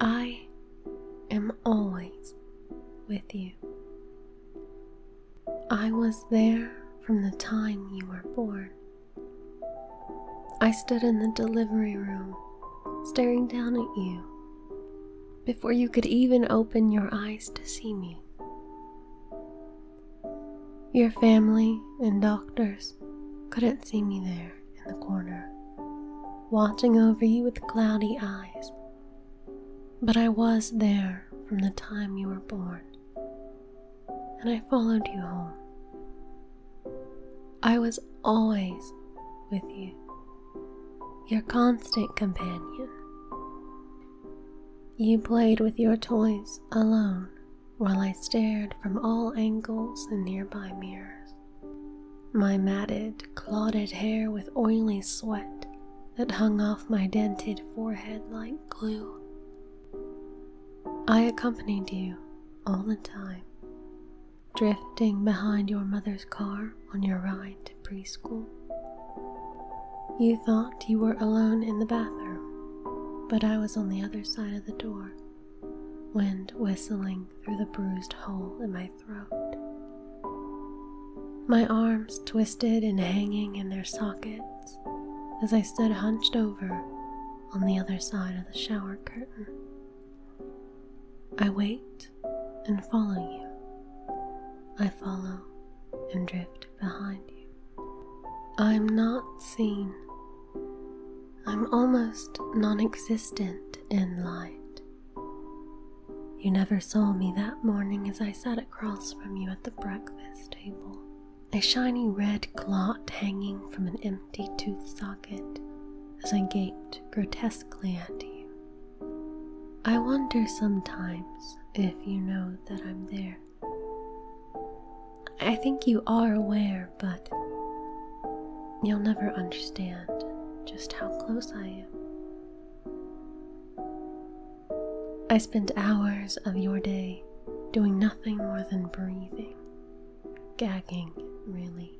I am always with you. I was there from the time you were born. I stood in the delivery room, staring down at you, before you could even open your eyes to see me. Your family and doctors couldn't see me there in the corner, watching over you with cloudy eyes. But I was there from the time you were born, and I followed you home. I was always with you, your constant companion. You played with your toys alone while I stared from all angles in nearby mirrors. My matted, clotted hair with oily sweat that hung off my dented forehead like glue. I accompanied you all the time, drifting behind your mother's car on your ride to preschool. You thought you were alone in the bathroom, but I was on the other side of the door wind whistling through the bruised hole in my throat. My arms twisted and hanging in their sockets as I stood hunched over on the other side of the shower curtain. I wait and follow you. I follow and drift behind you. I'm not seen. I'm almost non existent in light. You never saw me that morning as I sat across from you at the breakfast table, a shiny red clot hanging from an empty tooth socket as I gaped grotesquely at you. I wonder sometimes if you know that I'm there. I think you are aware, but you'll never understand just how close I am. I spend hours of your day doing nothing more than breathing, gagging, really,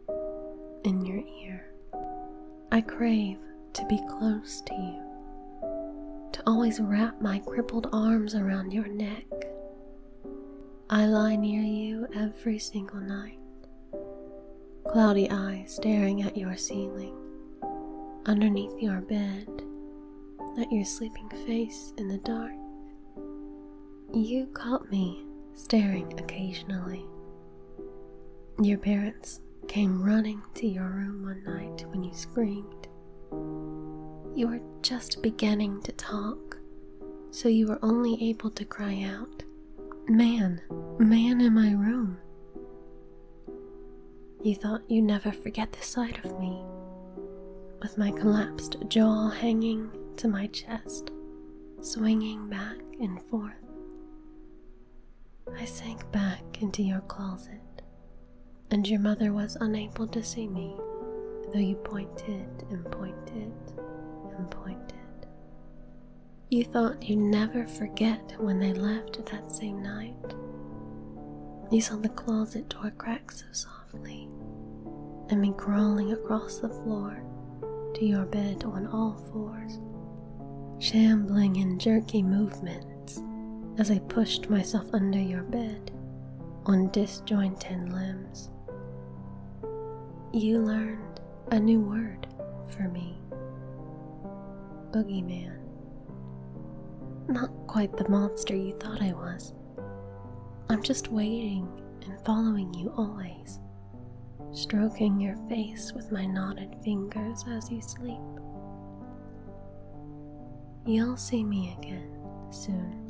in your ear. I crave to be close to you to always wrap my crippled arms around your neck. I lie near you every single night, cloudy eyes staring at your ceiling, underneath your bed, at your sleeping face in the dark. You caught me staring occasionally. Your parents came running to your room one night when you screamed. You were just beginning to talk, so you were only able to cry out, Man, man in my room. You thought you'd never forget the sight of me, with my collapsed jaw hanging to my chest, swinging back and forth. I sank back into your closet, and your mother was unable to see me, though you pointed and pointed and pointed. You thought you'd never forget when they left that same night. You saw the closet door crack so softly, and me crawling across the floor to your bed on all fours, shambling in jerky movements as I pushed myself under your bed on disjointed limbs. You learned a new word for me boogeyman. Not quite the monster you thought I was. I'm just waiting and following you always, stroking your face with my knotted fingers as you sleep. You'll see me again soon.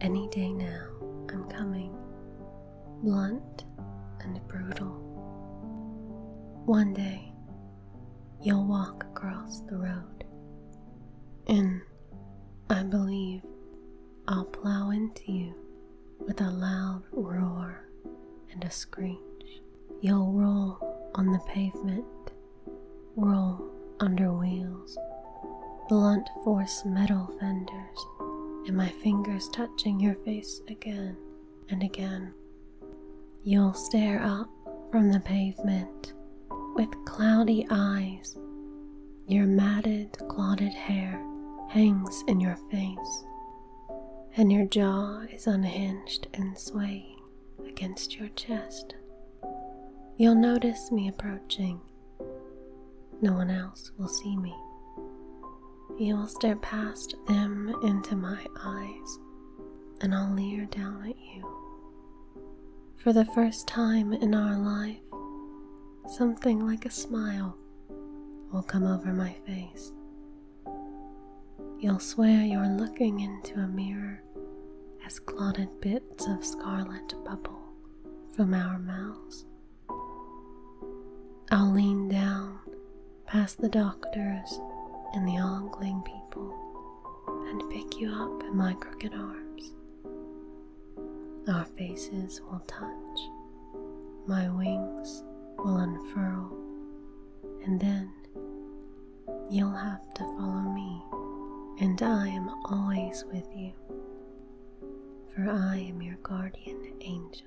Any day now, I'm coming. Blunt and brutal. One day, you'll walk across the road. And I believe I'll plow into you with a loud roar and a screech. You'll roll on the pavement, roll under wheels, blunt force metal fenders, and my fingers touching your face again and again. You'll stare up from the pavement with cloudy eyes. Your matted, clotted hair hangs in your face and your jaw is unhinged and swaying against your chest, you'll notice me approaching. No one else will see me. You will stare past them into my eyes, and I'll leer down at you. For the first time in our life, something like a smile will come over my face You'll swear you're looking into a mirror as clotted bits of scarlet bubble from our mouths. I'll lean down past the doctors and the ongling people and pick you up in my crooked arms. Our faces will touch my wings will unfurl, and then you'll have to follow me, and I am always with you, for I am your guardian angel.